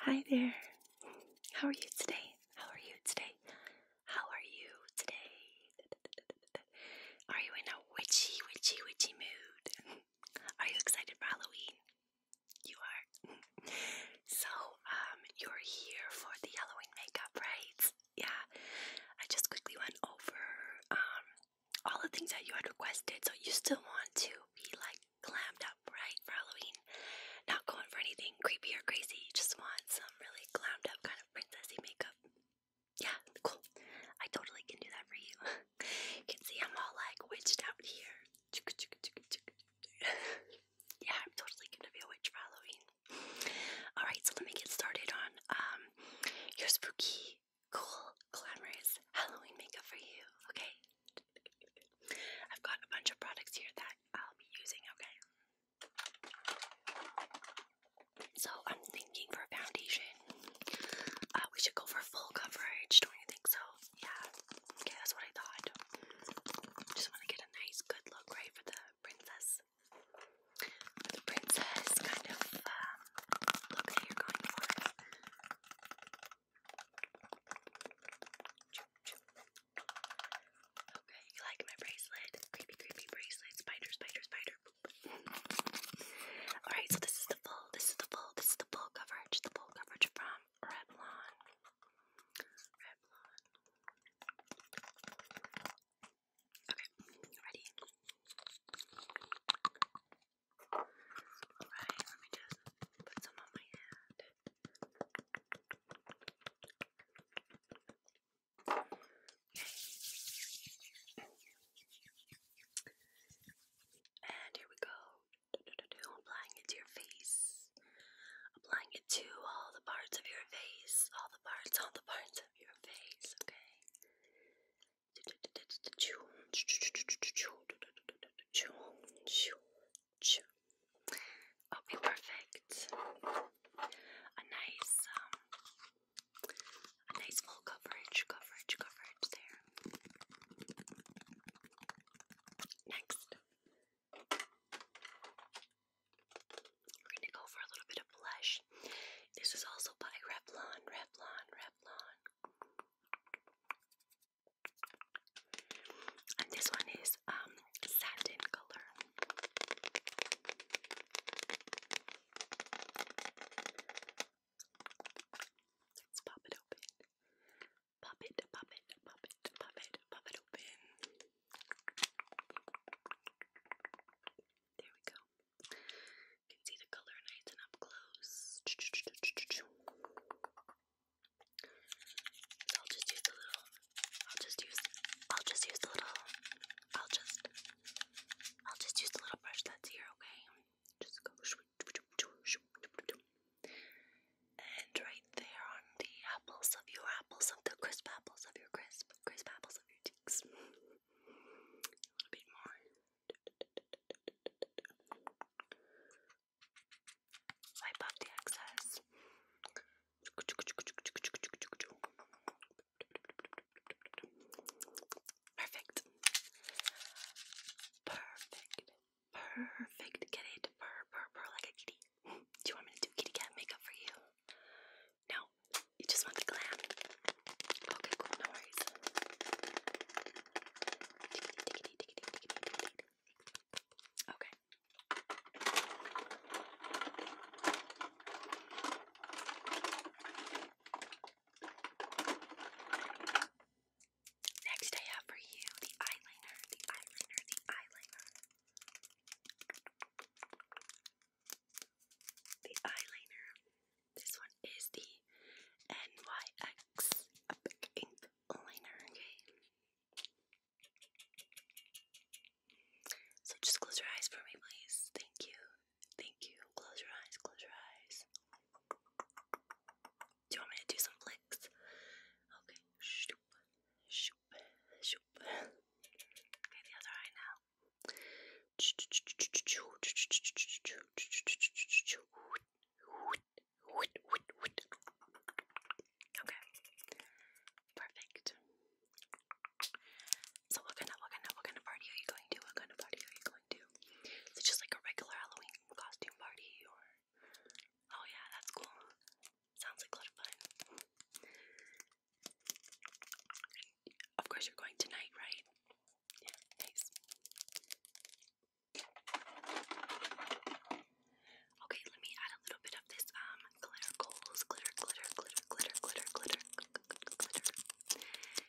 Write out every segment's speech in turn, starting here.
Hi there. How are you today? How are you today? How are you today? Are you in a witchy, witchy, witchy mood? Are you excited for Halloween? You are. So, um, you're here for the Halloween makeup, right? Yeah. I just quickly went over um all the things that you had requested. So you still want to be like glammed up, right, for Halloween? Not going for anything creepy or crazy. just want some really glammed up kind of princessy makeup. Yeah, cool. I totally can do that for you. you can see I'm all like witched out here. yeah, I'm totally gonna be a witch for Halloween. Alright, so let me get started on um your spooky, cool, glamorous Halloween makeup for you, okay? I've got a bunch of products here that I'll be using, okay? So I'm thinking for foundation, uh, we should go for full coverage, don't you think so? Yeah, okay, that's what I thought. Just want to get a nice, good look, right, for the princess. the princess kind of um, look that you're going for. Okay, you like my bracelet? Creepy, creepy bracelet. Spider, spider, spider. Alright, so this is the full, this is the full, this is the full coverage, the full coverage from Revlon. Revlon. Okay, ready? Alright, let me just put some on my hand. And here we go. applying it to your face. Applying it to all the parts of your face, all the parts, all the parts of your face, okay? Okay, perfect. A nice, um, a nice full coverage, coverage, coverage there. Next, we're gonna go for a little bit of blush. This is also by Revlon, Revlon, Revlon. And this one is um satin color. Let's pop it open pop it, pop it, pop it, pop it, pop it open. There we go. You can see the color nice and up close. I'll just use the little. I'll just use. I'll just use the little. I'll just. I'll just use the little brush that's here. Okay. Just go. And right there on the apples of your apples, of the crisp apples of your crisp, crisp apples of your cheeks. A little bit more. Wipe off the excess. Perfect. Perfect. Perfect. Get it. Purr, purr, purr like a kitty. Do you want me to do kitty cat makeup for you? No. You just want the glam? Okay, cool. No worries. Okay. Next, I have for you the eyeliner, the eyeliner, the eyeliner. The eyeliner. This one is the NYX Epic Ink Liner, okay? So just close your eyes for me, please. Thank you. Thank you. Close your eyes, close your eyes. Do you want me to do some flicks? Okay. Shoop. Shoop. Shoop. Okay, the other eye now. Okay. Perfect. So what kind of what kind of what kind of party are you going to? What kind of party are you going to? Is just like a regular Halloween costume party or Oh yeah, that's cool. Sounds like a lot of fun. Of course you're going tonight, right? Yeah, nice. Okay, let me add a little bit of this um glitter goals, glitter, glitter, glitter, glitter, glitter, glitter, glitter,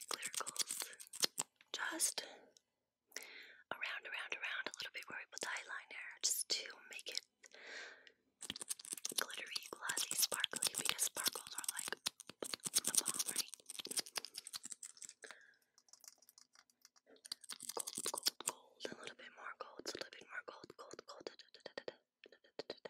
glitter goals. Just around, around, around a little bit where we the eyeliner just to make it glittery, glossy, sparkly because sparkles are like the bomb, right? Gold, gold, gold, a little bit more gold, a little bit more gold, gold, gold. Okay, perfect.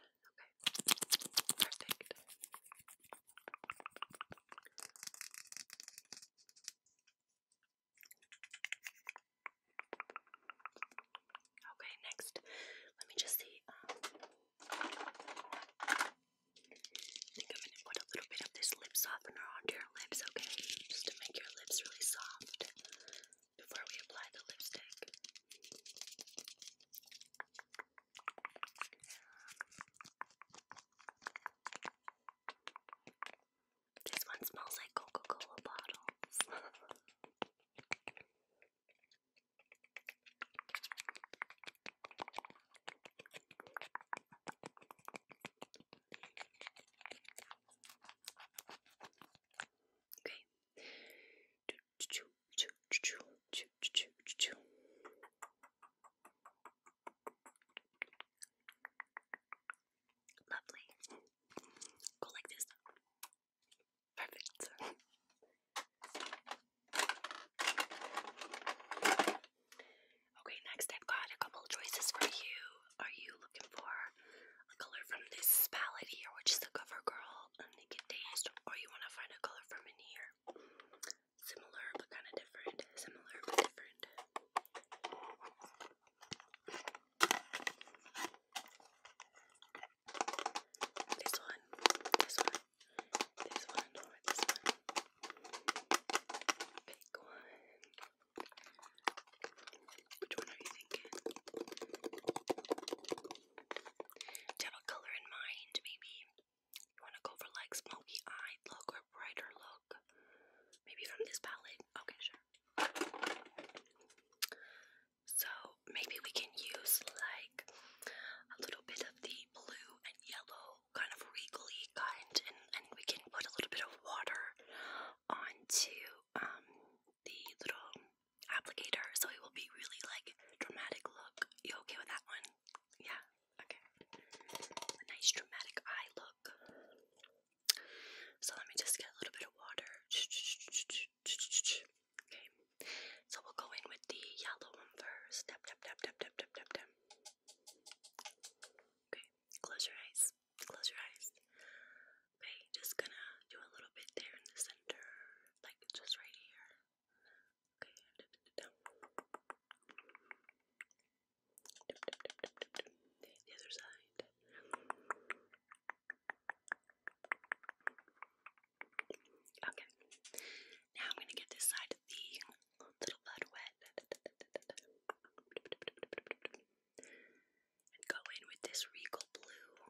Okay, next, let me just see. Um, think I'm gonna put a little bit of this lip softener onto your lips, okay? Just to make your lips really soft before we apply the lipstick. This one smells like Coca Cola bottles. okay. Lovely. Go like this. Perfect. Okay, next I've got a couple choices for you. Are you looking for a color from this palette here, which is the CoverGirl Naked Days, or you want to find a color from in here? Similar but kind of different. Similar but different. This one, this one, this one, or this one. Pick one. Which one are you thinking? have a color in mind, maybe? You want to go for like smoky eyed look or brighter look? Maybe from this palette? Okay, sure. So maybe we can use like a little bit of the blue and yellow kind of regally kind and, and we can put a little bit of water onto um the little applicator so it will be really like dramatic look. You okay with that one? Yeah, Okay. A nice dramatic eye look. So let me just get a little bit of water. Okay. So we'll go in with the yellow one first. Okay. Close your eyes. Close your eyes. Okay. Just gonna do a little bit there in the center. Like just right here. Okay. The other side. Okay. Now I'm gonna get this side of the little bud wet. And go in with this regal blue.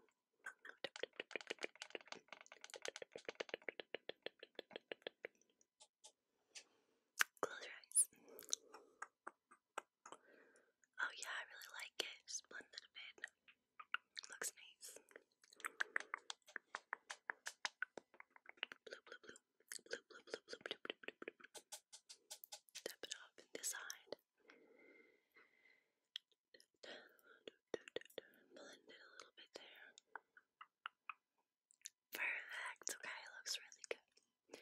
Close your eyes. Oh yeah, I really like it. Just blend it a bit. Looks nice. Blue, blue, blue. Blue, blue, blue, blue, blue, blue, blue, blue, blue. Tap it off in this side. Blend it a little bit there. Perfect. Okay, it looks really good.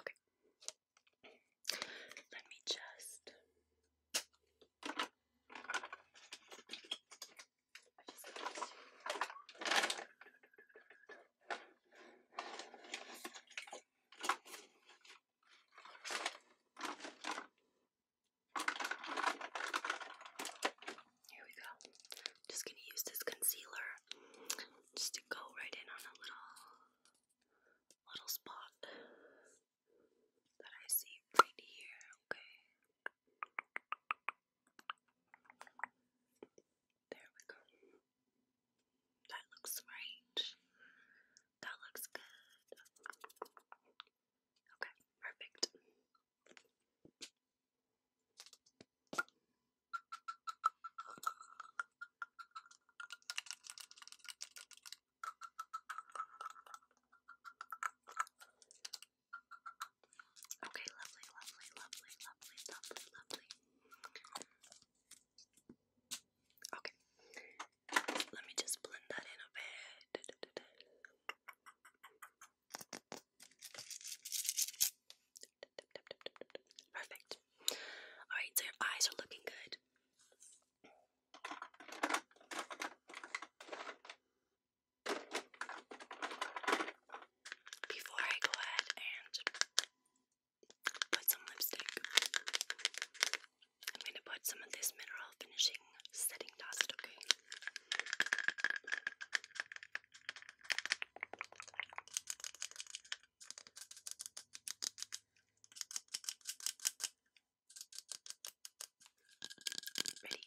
Okay. Let me just. I just got to. Here we go. just gonna use this concealer just to go right in on a little little spot that I see right here, okay? There we go. That looks right. That looks good. Okay, perfect. Okay, lovely, lovely, lovely, lovely, lovely, lovely. Okay, let me just blend that in a bit. Perfect. Alright, so your eyes are looking good. Before I go ahead and put some lipstick, I'm going to put some of this mineral finishing setting dust, okay? Ready?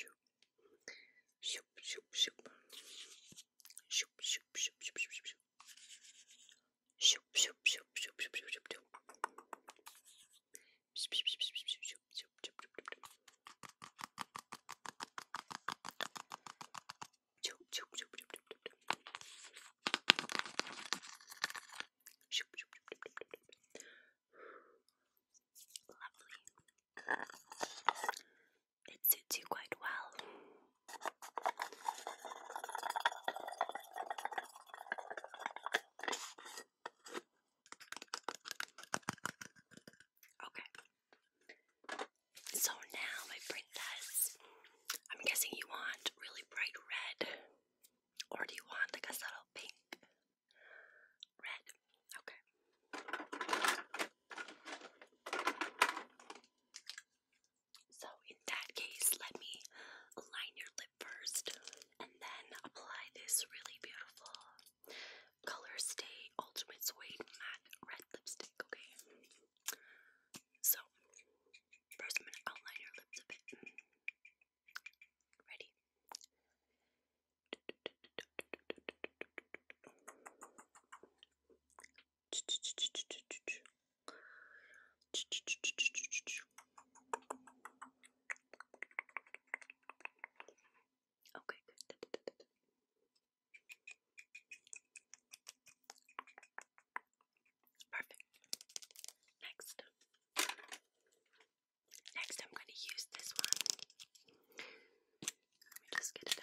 Okay. Shoop, shoop, shoop. Shoop, shoop, shoop, shoop, shoop, shoop. Shoop, shoop, shoop, shoop, shoop, shoop, shoop, shoop. Shoop, shoop, shoop, shoop, shoop, shoop, shoop, shoop, shoop. Shoop, shoop, shoop, shoop, shoop, shoop, shoop. Shoop, shoop, shoop, shoop, shoop, shoop. Lovely. It suits you quite well. Okay. So now, my princess, I'm guessing you want really bright red, or do you want like a subtle pink? Red. Okay. So, in that case, let me align your lip first and then apply this really beautiful Color Stay Ultimate Suede Matte Red Lipstick. Okay. So, first I'm going to outline your lips a bit. Ready? Okay, good. Perfect. Next. Next, I'm going to use this one. Let me just get it out.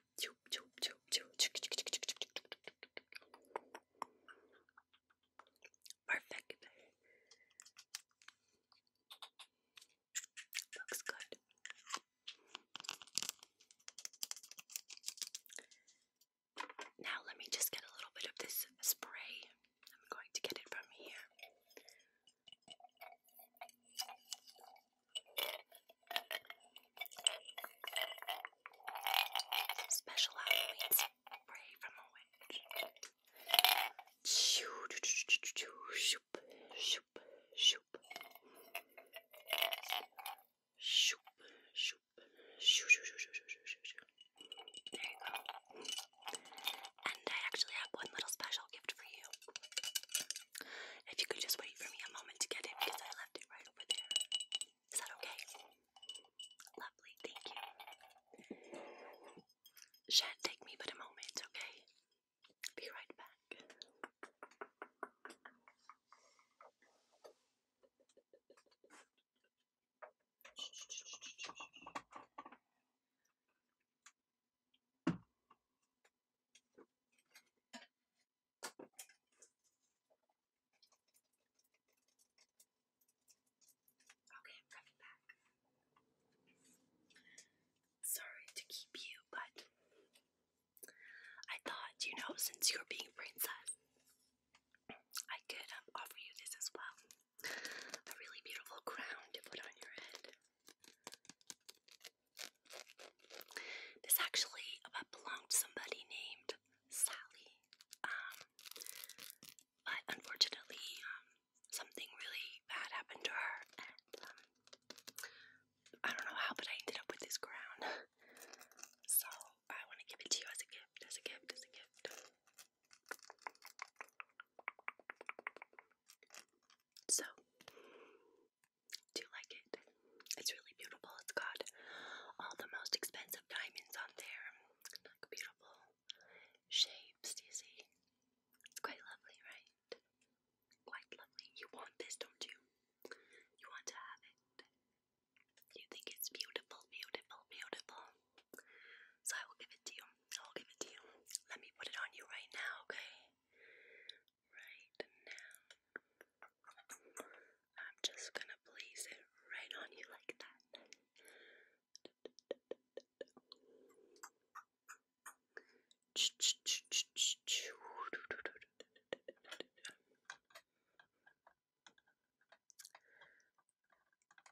Perfect. Looks good. Now, let me just get a little bit of this spray. I'm going to get it from here. Special Halloween spray from a witch. Shoop, shoop, shoop, shoop. Shoop, shoop, shoop, shoop, shoop, shoop, shoop. There you go. And I actually have one little special gift for you. If you could just wait for me a moment to get it because I left it right over there. Is that okay? Lovely, thank you. sha take me but a moment, okay? Be right back. Okay, I'm coming back. Sorry to keep you, but I thought, you know, since you're being a princess, I could um, offer you this as well. A really beautiful crown to put on your head. This actually belonged to somebody named Sally, um, but unfortunately, um, something really bad happened to her, um, I don't know how, but I ended up with this crown. so I want to give it to you as a gift, as a gift, as a gift. So, do you like it? It's really beautiful. It's got all the most expensive diamonds on there. Like beautiful shapes, do you see? It's quite lovely, right? Quite lovely. You want this, don't you? You want to have it. You think it's beautiful, beautiful, beautiful. So I will give it to you. I'll give it to you. Let me put it on you right now, okay? right now. I'm just gonna place it right on you like that.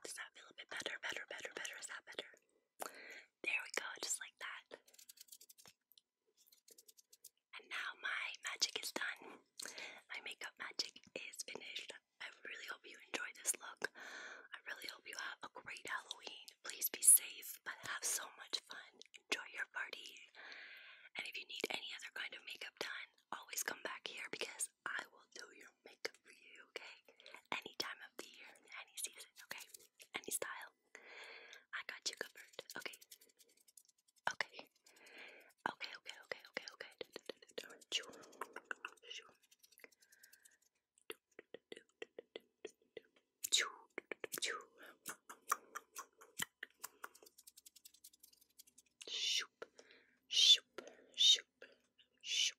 Does that feel a bit better? Better, better, better. Is that better? There we go, just like that. And now my magic is done. My makeup magic is finished. I really hope you enjoyed this look. I really hope you have a great Halloween. Please be safe, but have so much fun. Enjoy your party. And if you need any other kind of makeup done, always come back here because I will do your makeup for you, okay? Any time of the year, any season, okay? any style. I got you covered. Okay. Okay. Okay, okay, okay, okay, okay. Shoop, shoop, shoop, shoop.